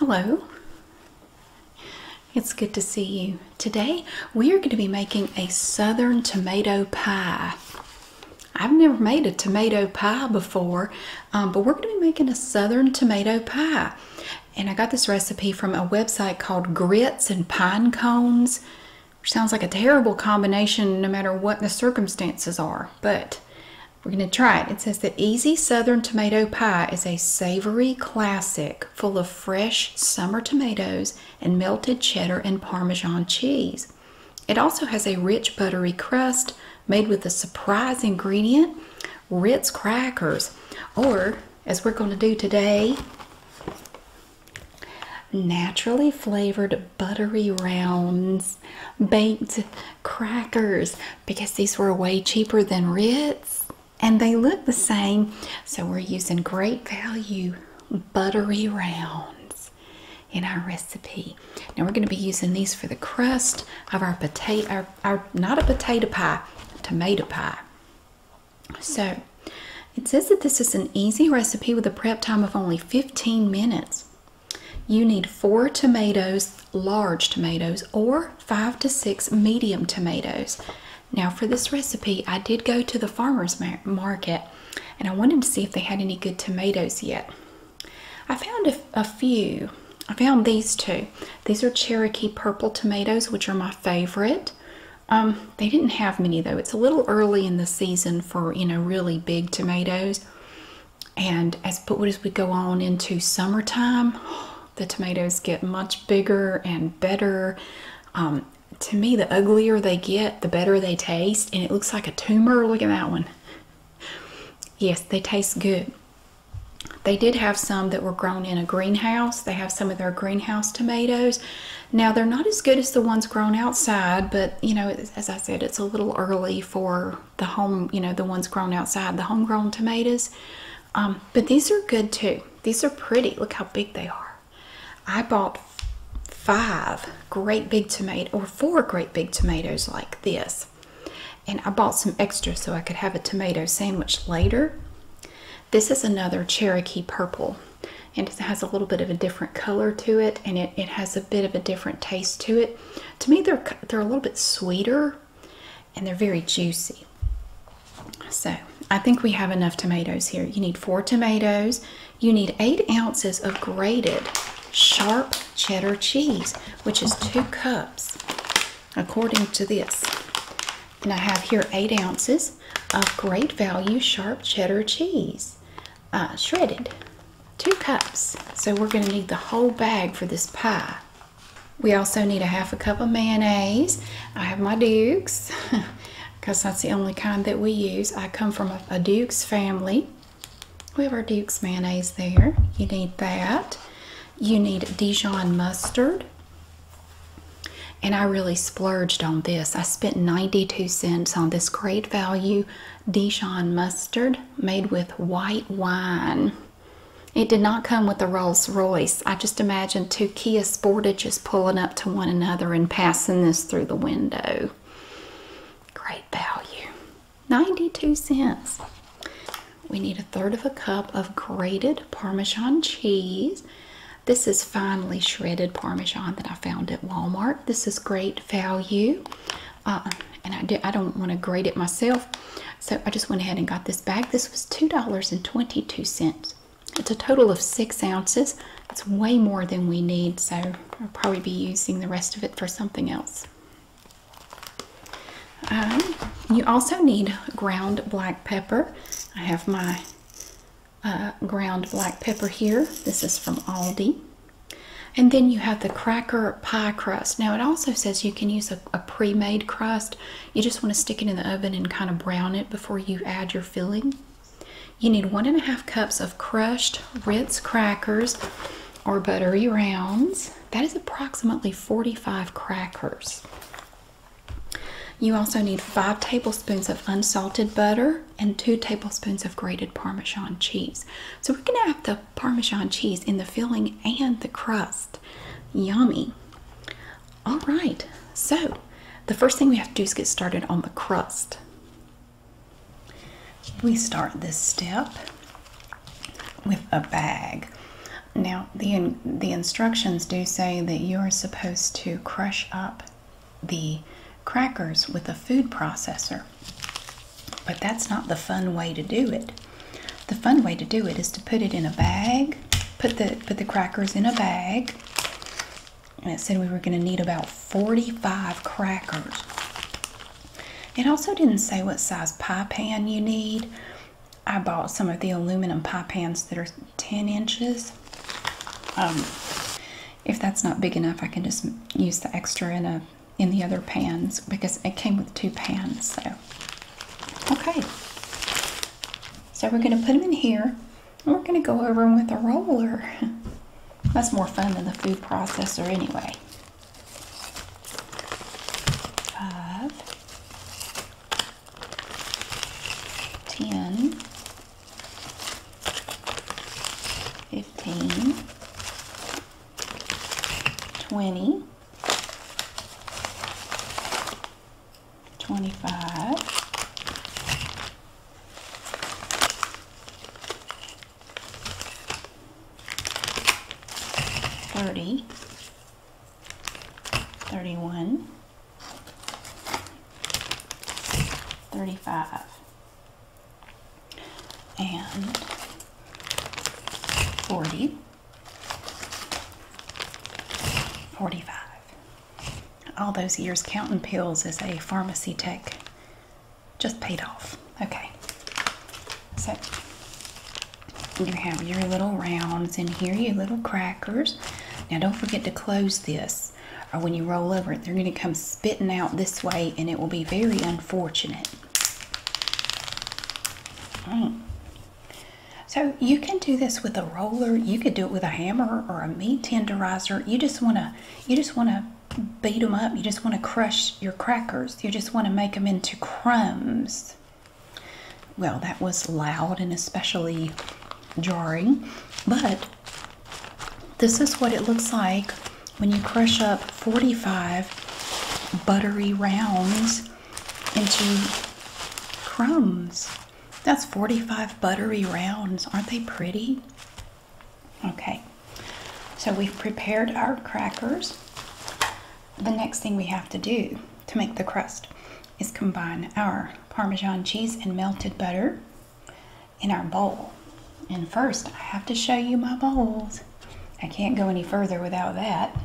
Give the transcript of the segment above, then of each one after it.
Hello. It's good to see you. Today we are going to be making a southern tomato pie. I've never made a tomato pie before, um, but we're going to be making a southern tomato pie. And I got this recipe from a website called Grits and Pine Cones, which sounds like a terrible combination no matter what the circumstances are, but we're going to try it. It says that Easy Southern Tomato Pie is a savory classic full of fresh summer tomatoes and melted cheddar and Parmesan cheese. It also has a rich buttery crust made with a surprise ingredient, Ritz crackers, or as we're going to do today, naturally flavored buttery rounds baked crackers because these were way cheaper than Ritz and they look the same. So we're using great value buttery rounds in our recipe. Now we're going to be using these for the crust of our potato, our, our not a potato pie, tomato pie. So it says that this is an easy recipe with a prep time of only 15 minutes. You need four tomatoes, large tomatoes, or five to six medium tomatoes. Now, for this recipe, I did go to the farmer's market and I wanted to see if they had any good tomatoes yet. I found a, few. I found these two. These are Cherokee purple tomatoes, which are my favorite. Um, they didn't have many though. It's a little early in the season for, you know, really big tomatoes and as but as we go on into summertime, the tomatoes get much bigger and better. Um, to me, the uglier they get, the better they taste, and it looks like a tumor. Look at that one. Yes, they taste good. They did have some that were grown in a greenhouse. They have some of their greenhouse tomatoes. Now, they're not as good as the ones grown outside, but you know, as I said, it's a little early for the home, you know, the ones grown outside, the homegrown tomatoes. Um, but these are good too. These are pretty. Look how big they are. I bought five great big tomato or four great big tomatoes like this. And I bought some extra so I could have a tomato sandwich later. This is another Cherokee purple. And it has a little bit of a different color to it and it, it has a bit of a different taste to it. To me, they're, they're a little bit sweeter and they're very juicy. So I think we have enough tomatoes here. You need four tomatoes. You need eight ounces of grated sharp cheddar cheese, which is two cups, according to this. And I have here eight ounces of great value sharp cheddar cheese, uh, shredded, two cups. So we're gonna need the whole bag for this pie. We also need a half a cup of mayonnaise. I have my Dukes because that's the only kind that we use. I come from a, Dukes family. We have our Duke's mayonnaise there. You need that. You need Dijon mustard. And I really splurged on this. I spent 92 cents on this great value Dijon mustard made with white wine. It did not come with a Rolls Royce. I just imagined two Kia Sportages pulling up to one another and passing this through the window. Great value. 92 cents. We need a third of a cup of grated Parmesan cheese. This is finely shredded Parmesan that I found at Walmart. This is great value. Uh, and I don't want to grade it myself so I just went ahead and got this bag this was $2.22 it's a total of six ounces it's way more than we need so I'll probably be using the rest of it for something else um, you also need ground black pepper I have my uh, ground black pepper here this is from Aldi and then you have the cracker pie crust. Now it also says you can use a a, a pre-made crust you just want to stick it in the oven and kind of brown it before you add your filling you need one and a half cups of crushed ritz crackers or buttery rounds that is approximately 45 crackers you also need five tablespoons of unsalted butter and two tablespoons of grated parmesan cheese so we're going to have the parmesan cheese in the filling and the crust Yummy. All right, so the first thing we have to do is get started on the crust. We start this step with a bag. Now, the, the instructions do say that you're supposed to crush up the crackers with a food processor. But that's not the fun way to do it. The fun way to do it is to put it in a bag, put the put the crackers in a bag. And it said we were going to need about 45 crackers. It also didn't say what size pie pan you need. I bought some of the aluminum pie pans that are 10 inches. Um, if that's not big enough, I can just use the extra in a in the other pans because it came with two pans. So, okay. So we're going to put them in here and we're going to go over them with a roller. That's more fun than the food processor anyway. Five, ten, fifteen, twenty. 25. Thirty, thirty-one, thirty-five, and forty. 45. All those years counting pills as a pharmacy tech just paid off. Okay. So you have your little rounds in here, your little crackers. Now don't forget to close this or when you roll over it, they're going to come spitting out this way and it will be very unfortunate. Mm. So you can do this with a roller. You could do it with a hammer or a meat tenderizer. You just wanna, you just wanna beat them up. You just wanna crush your crackers. You just wanna make them into crumbs. Well, that was loud and especially jarring, but this is what it looks like when you crush up 45 buttery rounds into crumbs. That's 45 buttery rounds. Aren't they pretty? Okay, so we've prepared our crackers. The next thing we have to do to make the crust is combine our Parmesan cheese and melted butter in our bowl. And first, I have to show you my bowls. I can't go any further without that.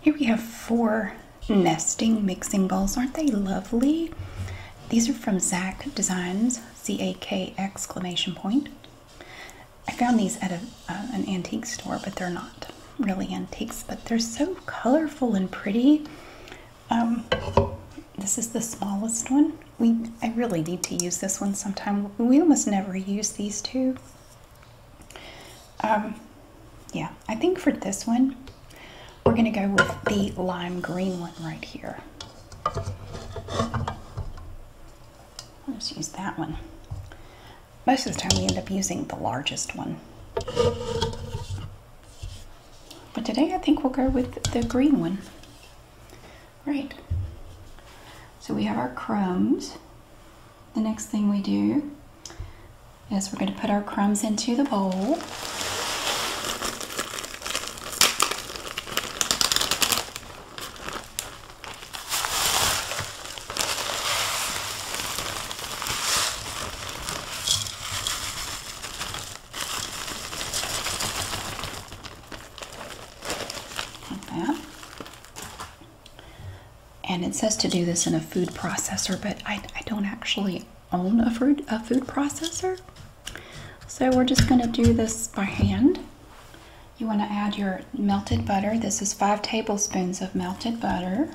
Here we have four nesting mixing bowls. Aren't they lovely? These are from Zach Designs, Z A K exclamation point. I found these at an antique store, but they're not really antiques, but they're so colorful and pretty. Um, this is the smallest one. We I really need to use this one sometime. We almost never use these two. Um, yeah, I think for this one, we're going to go with the lime green one right here. I'll use that one. Most of the time we end up using the largest one. But today I think we'll go with the green one. Great. So we have our crumbs. The next thing we do is we're going to put our crumbs into the bowl. Like that and it says to do this in a food processor but I, don't actually own a food, a food processor so we're just going to do this by hand you want to add your melted butter this is five tablespoons of melted butter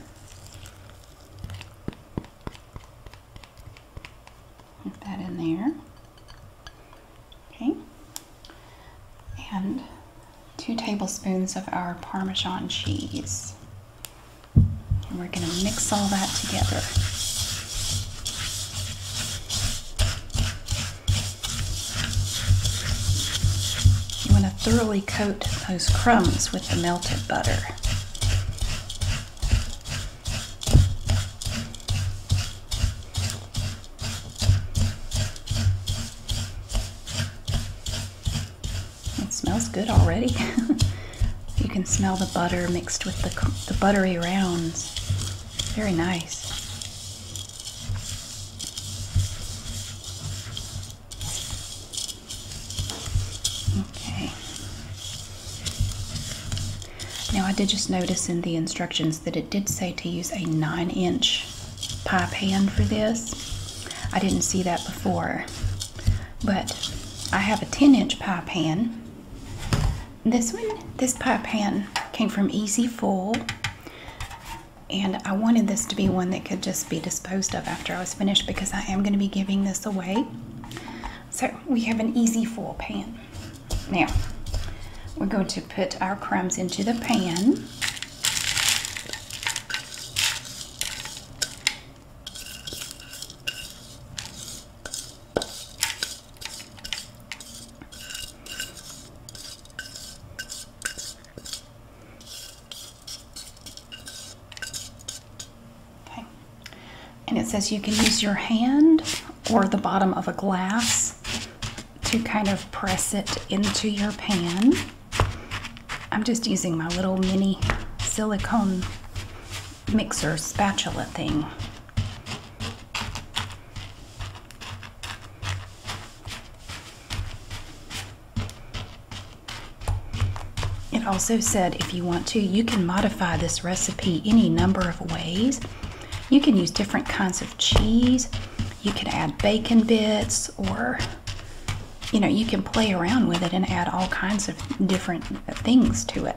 Put that in there. Okay, and two tablespoons of our Parmesan cheese. And we're going to mix all that together. You want to thoroughly coat those crumbs with the melted butter. It smells good already. you can smell the butter mixed with the, the buttery rounds. Very nice. Okay. Now I did just notice in the instructions that it did say to use a nine inch pie pan for this. I didn't see that before, but I have a 10 inch pie pan. This one, this pie pan came from Easy Full, and I wanted this to be one that could just be disposed of after I was finished because I am going to be giving this away. So we have an Easy Full pan. Now, we're going to put our crumbs into the pan. Okay. And it says you can use your hand or the bottom of a glass to kind of press it into your pan. I'm just using my little mini silicone mixer spatula thing. It also said if you want to, you can modify this recipe any number of ways. You can use different kinds of cheese. You can add bacon bits or you know, you can play around with it and add all kinds of different things to it.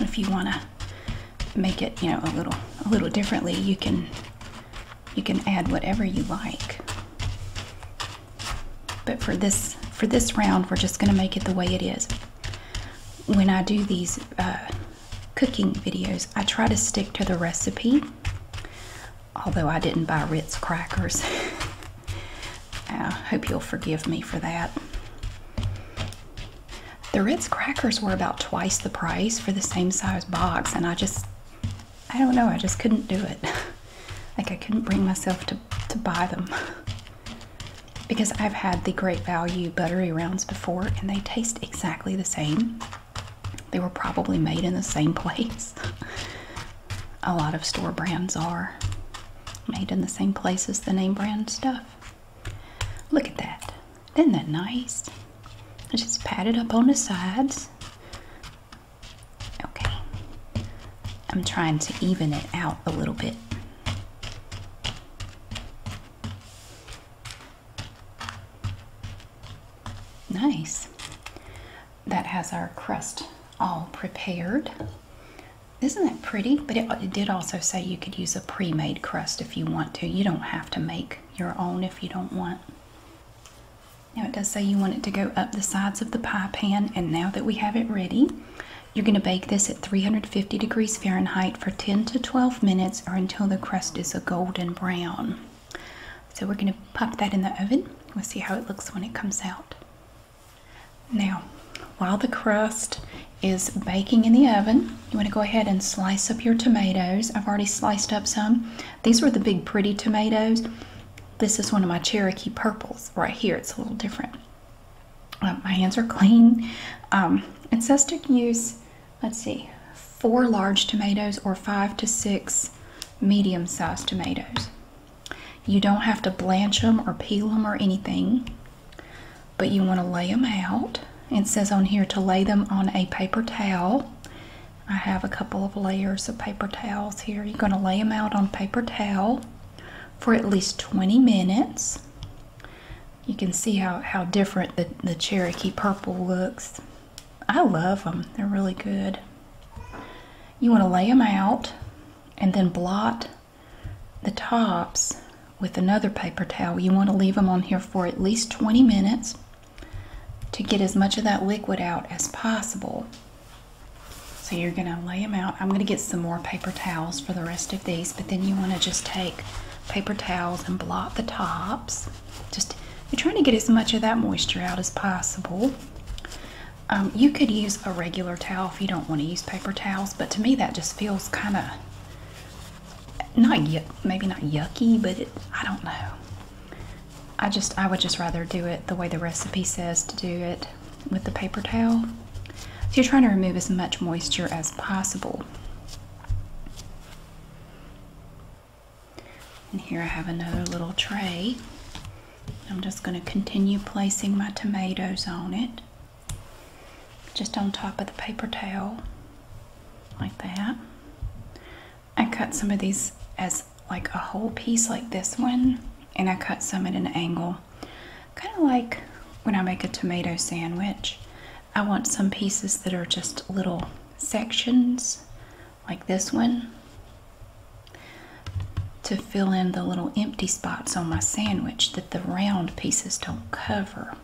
If you want to make it, you know, a little a little differently, you can you can add whatever you like. But for this for this round, we're just going to make it the way it is. When I do these uh, cooking videos, I try to stick to the recipe. Although I didn't buy Ritz crackers. I hope you'll forgive me for that. The Ritz crackers were about twice the price for the same size box, and I just, I don't know, I just couldn't do it. like, I couldn't bring myself to, to buy them. because I've had the Great Value buttery rounds before, and they taste exactly the same. They were probably made in the same place. A lot of store brands are made in the same place as the name brand stuff. Look at that. Isn't that nice? I just pat it up on the sides. Okay. I'm trying to even it out a little bit. Nice. That has our crust all prepared. Isn't that pretty? But it, did also say you could use a pre-made crust if you want to. You don't have to make your own if you don't want. Now it does say you want it to go up the sides of the pie pan and now that we have it ready, you're going to bake this at 350 degrees Fahrenheit for 10 to 12 minutes or until the crust is a golden brown so we're going to pop that in the oven. We'll see how it looks when it comes out. Now, while the crust is baking in the oven, you want to go ahead and slice up your tomatoes. I've already sliced up some. These were the big pretty tomatoes. This is one of my Cherokee purples right here. It's a little different. Um, my hands are clean. Um, it says to use let's see, four large tomatoes or five to six medium sized tomatoes. You don't have to blanch them or peel them or anything, but you want to lay them out. It says on here to lay them on a paper towel. I have a couple of layers of paper towels here. You're going to lay them out on paper towel for at least 20 minutes. You can see how, how different the, the Cherokee purple looks. I love them. They're really good. You want to lay them out and then blot the tops with another paper towel. You want to leave them on here for at least 20 minutes to get as much of that liquid out as possible. So you're going to lay them out. I'm going to get some more paper towels for the rest of these, but then you want to just take paper towels and blot the tops. Just you're trying to get as much of that moisture out as possible. Um, you could use a regular towel if you don't want to use paper towels, but to me that just feels kind of not yuck, maybe not yucky, but I don't know. I just I would just rather do it the way the recipe says to do it with the paper towel. So you're trying to remove as much moisture as possible. And here I have another little tray. I'm just going to continue placing my tomatoes on it, just on top of the paper towel, like that. I cut some of these as like a whole piece, like this one, and I cut some at an angle, kind of like when I make a tomato sandwich. I want some pieces that are just little sections like this one to fill in the little empty spots on my sandwich that the round pieces don't cover.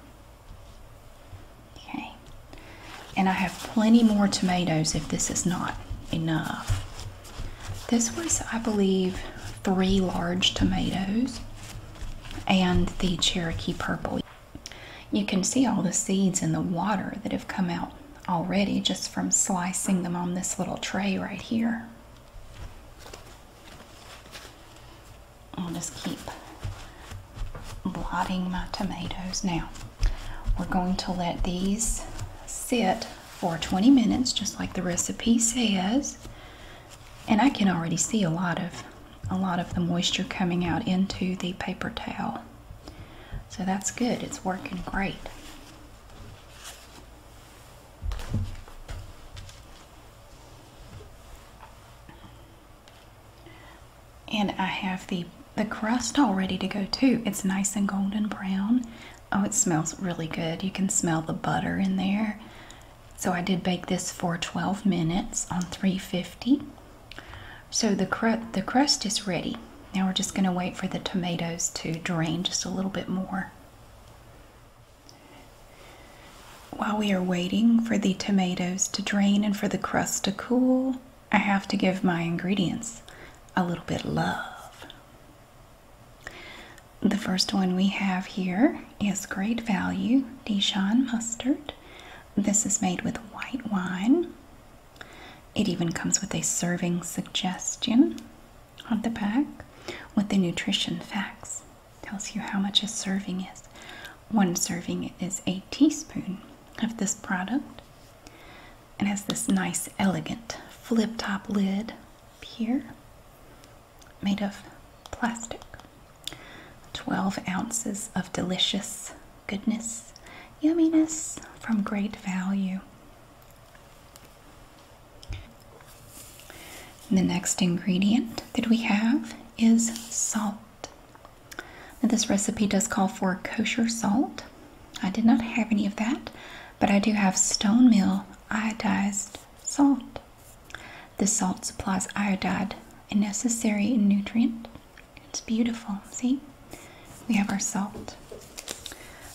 Okay, and I have plenty more tomatoes if this is not enough. This was, I believe, three large tomatoes and the Cherokee purple. You can see all the seeds in the water that have come out already just from slicing them on this little tray right here. I'll just keep blotting my tomatoes. Now, we're going to let these sit for 20 minutes, just like the recipe says. And I can already see a lot of a lot of the moisture coming out into the paper towel. So that's good, it's working great. And I have the, the crust all ready to go too. It's nice and golden brown. Oh, it smells really good. You can smell the butter in there. So I did bake this for 12 minutes on 350. So the, crust is ready. Now we're just going to wait for the tomatoes to drain just a little bit more. While we are waiting for the tomatoes to drain and for the crust to cool, I have to give my ingredients a little bit love. The first one we have here is great value Dijon mustard. This is made with white wine. It even comes with a serving suggestion on the back with the nutrition facts. Tells you how much a serving is. One serving is a teaspoon of this product. It has this nice, elegant flip top lid here made of plastic. 12 ounces of delicious goodness, yumminess from great value. The next ingredient that we have is salt. this recipe does call for kosher salt. I did not have any of that, but I do have Stone Mill iodized salt. The salt supplies iodide, a necessary nutrient it's beautiful. See? We have our salt.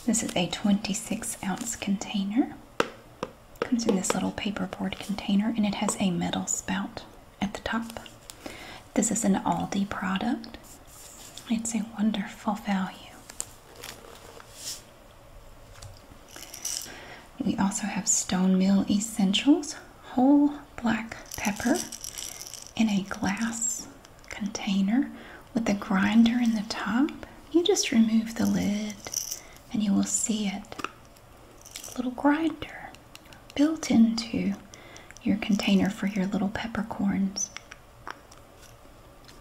This is a 26 ounce container. Comes in this little paperboard container and it has a metal spout at the top. This is an Aldi product. It's a wonderful value. We also have Stone Mill Essentials whole black pepper in a glass container with a grinder in the top. You just remove the lid and you will see it. A little grinder built into your container for your little peppercorns.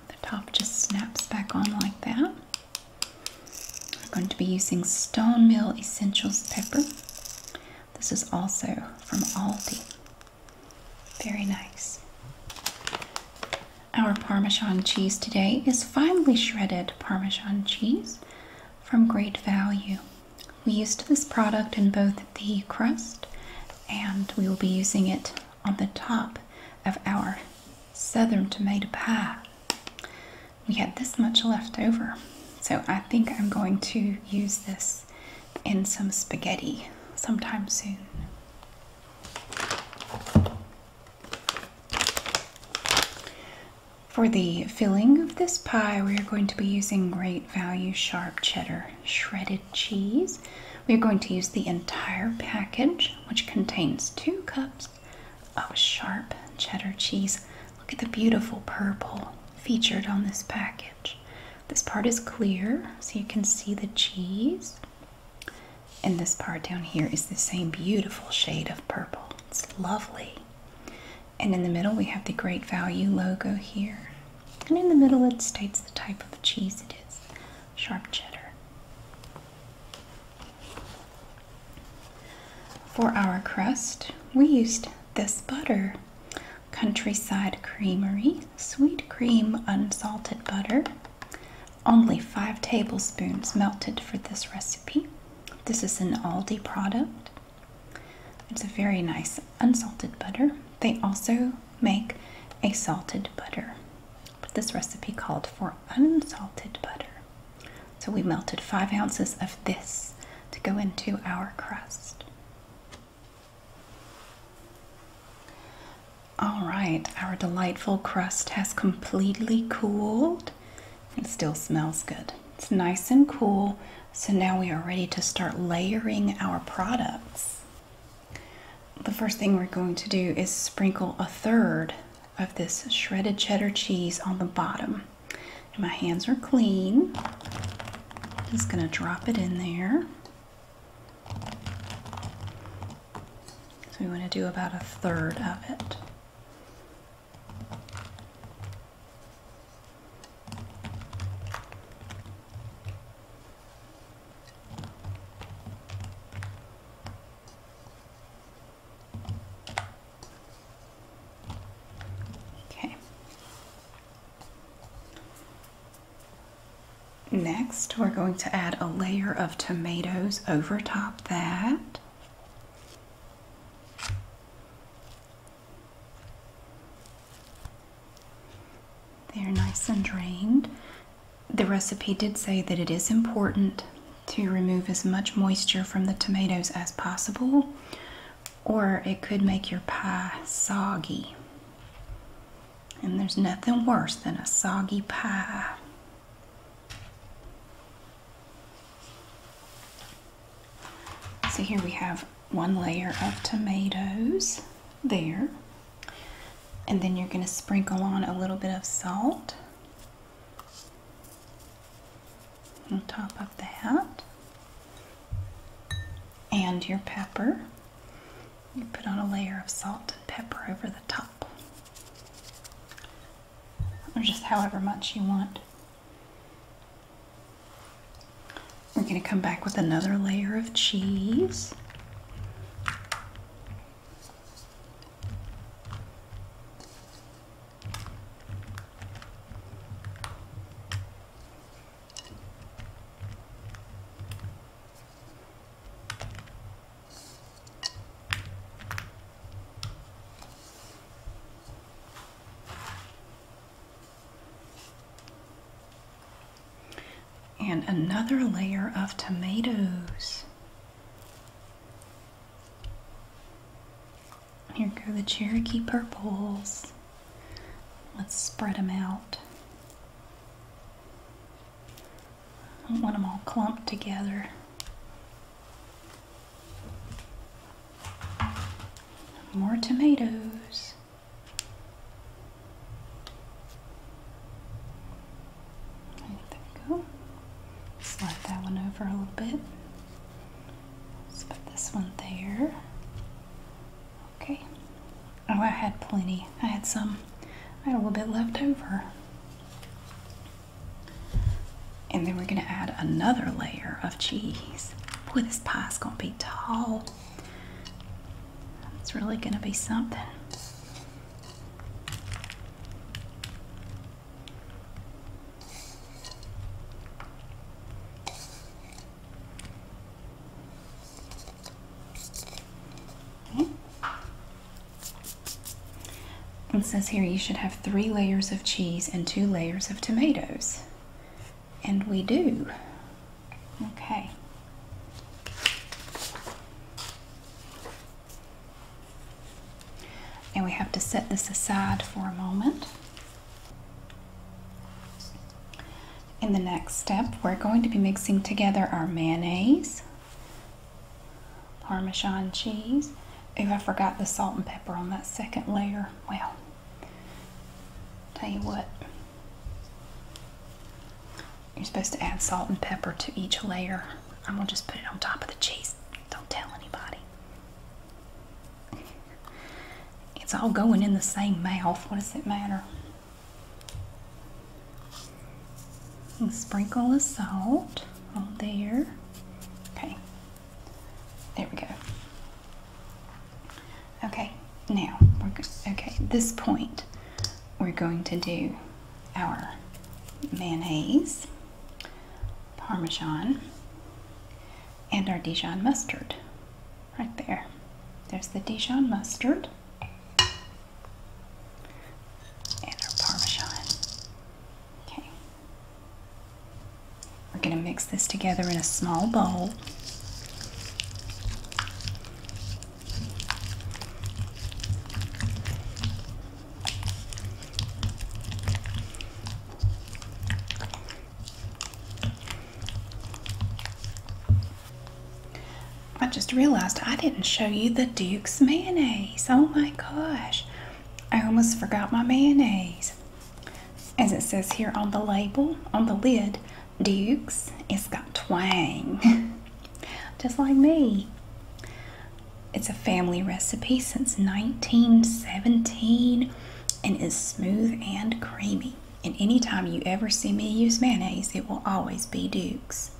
The top just snaps back on like that. We're going to be using Stone Mill Essentials pepper. This is also from Aldi. Very nice. Our Parmesan cheese today is finely shredded Parmesan cheese from Great Value. We used this product in both the crust and we will be using it on the top of our southern tomato pie we had this much left over. So I think I'm going to use this in some spaghetti sometime soon. For the filling of this pie, we are going to be using great value sharp cheddar shredded cheese. We are going to use the entire package, which contains two cups of sharp cheddar cheese. Look at the beautiful purple featured on this package. This part is clear, so you can see the cheese. And this part down here is the same beautiful shade of purple. It's lovely. And in the middle, we have the Great Value logo here. And in the middle, it states the type of cheese it is sharp cheddar. For our crust, we used this butter Countryside Creamery Sweet Cream Unsalted Butter. Only five tablespoons melted for this recipe. This is an Aldi product. It's a very nice unsalted butter. They also make a salted butter, but this recipe called for unsalted butter. So we melted five ounces of this to go into our crust. All right, our delightful crust has completely cooled. It still smells good. It's nice and cool. So now we are ready to start layering our products. The first thing we're going to do is sprinkle a third of this shredded cheddar cheese on the bottom. My hands are clean. Just going to drop it in there. So we want to do about a third of it. Okay. Next, we're going to add a layer of tomatoes over top that. They're nice and drained. The recipe did say that it is important to remove as much moisture from the tomatoes as possible or it could make your pie soggy. And there's nothing worse than a soggy pie. So here we have one layer of tomatoes there. And then you're going to sprinkle on a little bit of salt on top of that. And your pepper. You put on a layer of salt and pepper over the top. Or just however much you want. We're going to come back with another layer of cheese and another layer of tomatoes. Here go the Cherokee purples. Let's spread them out. I don't want them all clumped together. More tomatoes. There we go. Slide that one over a little bit. Let's put this one there. Okay. Oh, I had plenty. I had some, I had a little bit left over. And then we're gonna add another layer of cheese. Boy, this pie's gonna be tall. It's really gonna be something. Hmm? It says here you should have three layers of cheese and two layers of tomatoes. And we do. Okay. And we have to set this aside for a moment. In the next step, we're going to be mixing together our mayonnaise, Parmesan cheese. Ooh, I forgot the salt and pepper on that second layer. Well, tell you what, you're supposed to add salt and pepper to each layer. I'm gonna just put it on top of the cheese. Don't tell anybody it's all going in the same mouth. What does it matter? And sprinkle the salt on there. Okay, there we go. Okay, now we're Okay, this point, we're going to do our mayonnaise, parmesan, and our Dijon mustard. Right there. There's the Dijon mustard and our Parmesan. Okay. We're going to mix this together in a small bowl. I just realized I didn't show you the Duke's mayonnaise. Oh my gosh. I almost forgot my mayonnaise. As it says here on the label, on the lid, Duke's, it's got twang. just like me. It's a family recipe since 1917 and is smooth and creamy. And anytime you ever see me use mayonnaise, it will always be Duke's.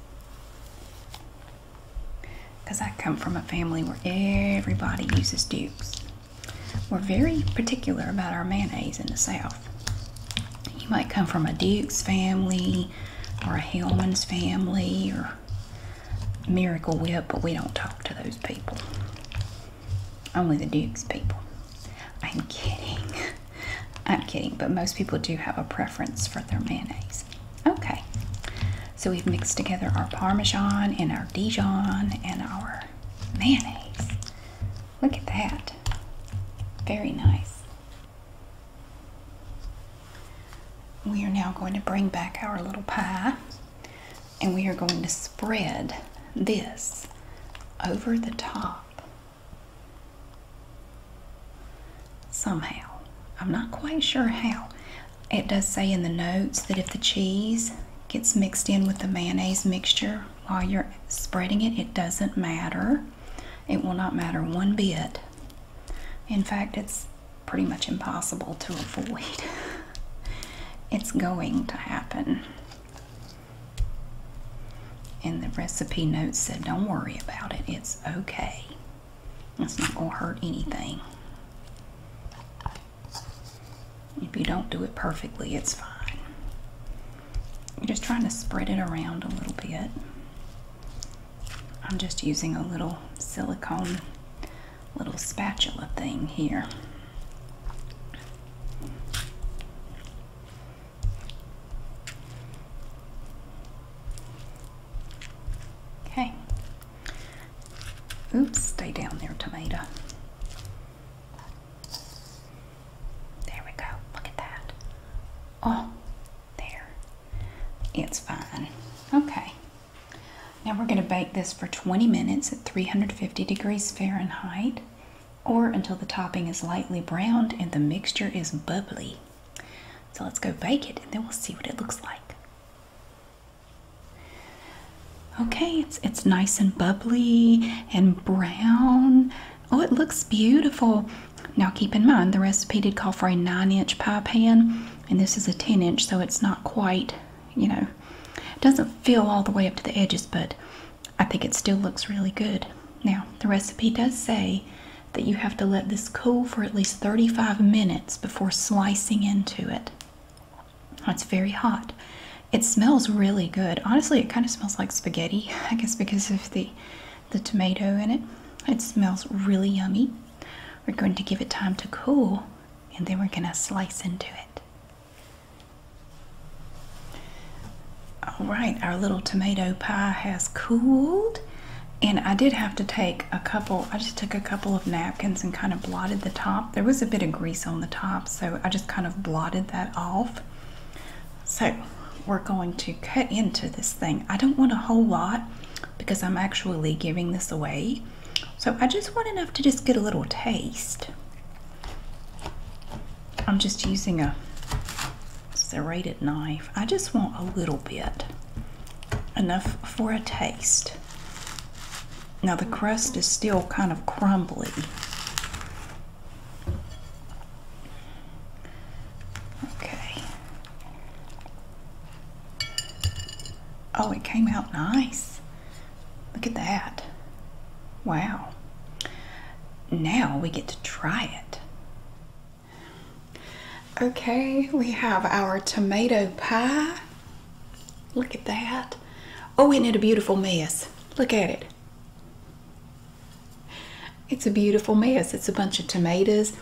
Because I come from a family where everybody uses Duke's. We're very particular about our mayonnaise in the South. You might come from a Duke's family or a Hellman's family or Miracle Whip, but we don't talk to those people. Only the Dukes people. I'm kidding. I'm kidding, but most people do have a preference for their mayonnaise. Okay, so we've mixed together our Parmesan and our Dijon and our mayonnaise. Look at that. Very nice. We are now going to bring back our little pie and we are going to spread this over the top somehow. I'm not quite sure how. It does say in the notes that if the cheese gets mixed in with the mayonnaise mixture while you're spreading it, it doesn't matter. It will not matter one bit. In fact, it's pretty much impossible to avoid. it's going to happen. And the recipe notes said, don't worry about it, it's okay. It's not going to hurt anything. If you don't do it perfectly, it's fine. You're just trying to spread it around a little bit. I'm just using a little silicone little spatula thing here. Okay. Oops, stay down there, tomato. There we go. Look at that. Oh, there. It's fine. Okay. Now we're going to bake this for 20 minutes at 350 degrees Fahrenheit or until the topping is lightly browned and the mixture is bubbly. So let's go bake it and then we'll see what it looks like. Okay, it's, it's nice and bubbly and brown. Oh, it looks beautiful. Now keep in mind the recipe did call for a 9 inch pie pan and this is a 10 inch so it's not quite you know, it doesn't fill all the way up to the edges, but I think it still looks really good. Now, the recipe does say that you have to let this cool for at least 35 minutes before slicing into it. It's very hot. It smells really good. Honestly, it kind of smells like spaghetti, I guess because of the the tomato in it. It smells really yummy. We're going to give it time to cool and then we're going to slice into it. All right, our little tomato pie has cooled. And I did have to take a couple, I just took a couple of napkins and kind of blotted the top. There was a bit of grease on the top, so I just kind of blotted that off. So we're going to cut into this thing. I don't want a whole lot because I'm actually giving this away. So I just want enough to just get a little taste. I'm just using a serrated knife. I just want a little bit, enough for a taste. Now the crust is still kind of crumbly. Okay. Oh, it came out nice. Look at that. Wow. Now we get to try it. Okay, we have our tomato pie. Look at that. Oh, isn't it a beautiful mess? Look at it. It's a beautiful mess. It's a bunch of tomatoes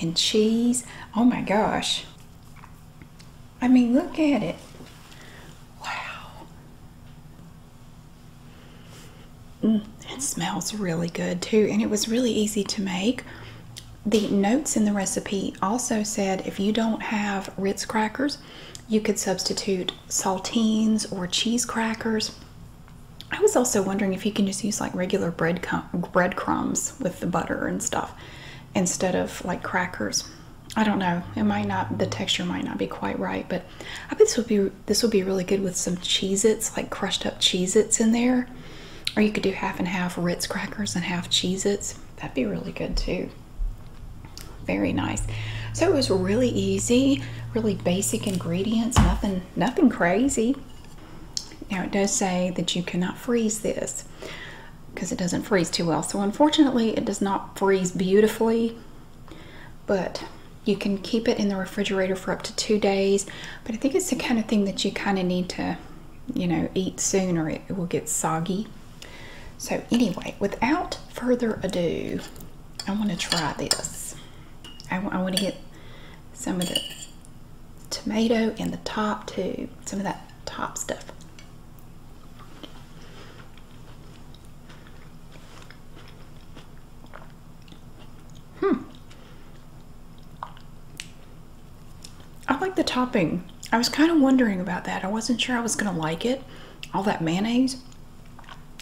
and cheese. Oh my gosh. I mean, look at it. Wow. Mm, it smells really good too, and it was really easy to make. The notes in the recipe also said if you don't have Ritz crackers, you could substitute saltines or cheese crackers. I was also wondering if you can just use like regular bread crumbs with the butter and stuff instead of like crackers. I don't know. It might not. The texture might not be quite right, but I bet this would be this would be really good with some Cheez-Its, like crushed up Cheez-Its in there, or you could do half and half Ritz crackers and half Cheez-Its. That'd be really good too. Very nice. So it was really easy, really basic ingredients. Nothing, nothing crazy. Now it does say that you cannot freeze this because it doesn't freeze too well. So unfortunately, it does not freeze beautifully, but you can keep it in the refrigerator for up to two days. But I think it's the kind of thing that you kind of need to, you know, eat soon or it will get soggy. So anyway, without further ado, I want to try this. I, I want to get some of the tomato in the top too, some of that top stuff. Hmm. I like the topping. I was kind of wondering about that. I wasn't sure I was going to like it, all that mayonnaise.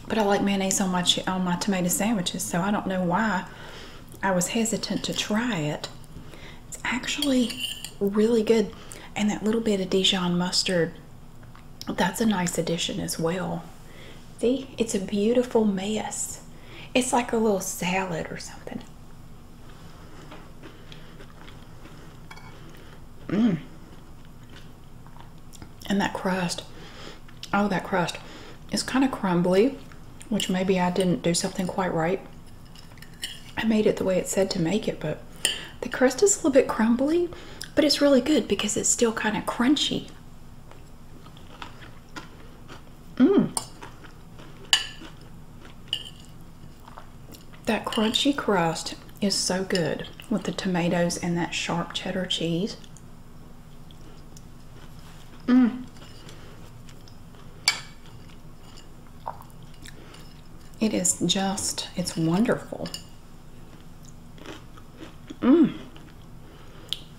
But I like mayonnaise on my on my tomato sandwiches, so I don't know why I was hesitant to try it. It's actually really good. And that little bit of Dijon mustard, that's a nice addition as well. See, it's a beautiful mess. It's like a little salad or something. Mmm. And that crust, oh, that crust is kind of crumbly, which maybe I didn't do something quite right. I made it the way it said to make it, but the crust is a little bit crumbly, but it's really good because it's still kind of crunchy. Mmm. That crunchy crust is so good with the tomatoes and that sharp cheddar cheese. Mmm. It is just, it's wonderful. Mmm.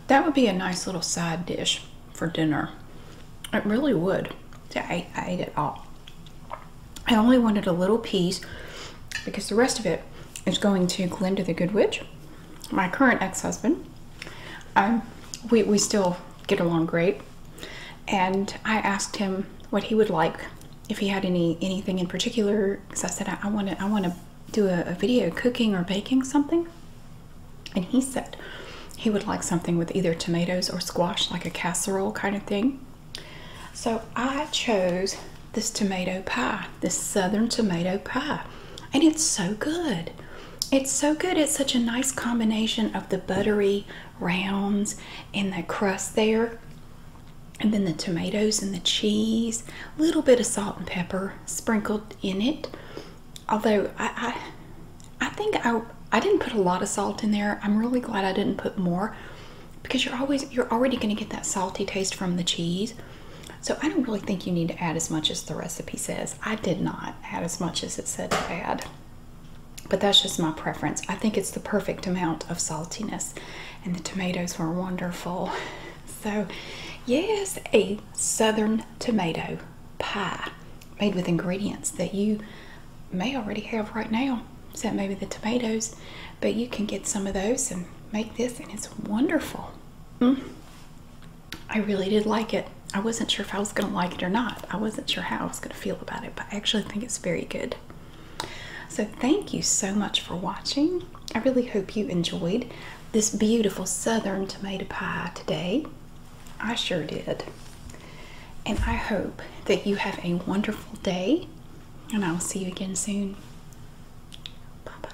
That would be a nice little side dish for dinner. It really would. I, ate it all. I only wanted a little piece because the rest of it is going to Glinda the Good Witch, my current ex-husband. Um, we, we still get along great and I asked him what he would like if he had any anything in particular because I said I want to I want to do a, a video cooking or baking something and he said he would like something with either tomatoes or squash like a casserole kind of thing so I chose this tomato pie this southern tomato pie and it's so good it's so good it's such a nice combination of the buttery rounds and the crust there and then the tomatoes and the cheese little bit of salt and pepper sprinkled in it although i i, I think i i didn't put a lot of salt in there i'm really glad i didn't put more because you're always you're already going to get that salty taste from the cheese so i don't really think you need to add as much as the recipe says i did not add as much as it said to add but that's just my preference. I think it's the perfect amount of saltiness, and the tomatoes were wonderful. So, yes, a southern tomato pie made with ingredients that you may already have right now, except maybe the tomatoes, but you can get some of those and make this, and it's wonderful. Mm. I really did like it. I wasn't sure if I was going to like it or not. I wasn't sure how I was going to feel about it, but I actually think it's very good. So, thank you so much for watching. I really hope you enjoyed this beautiful southern tomato pie today. I sure did. And I hope that you have a wonderful day, and I will see you again soon. Bye bye.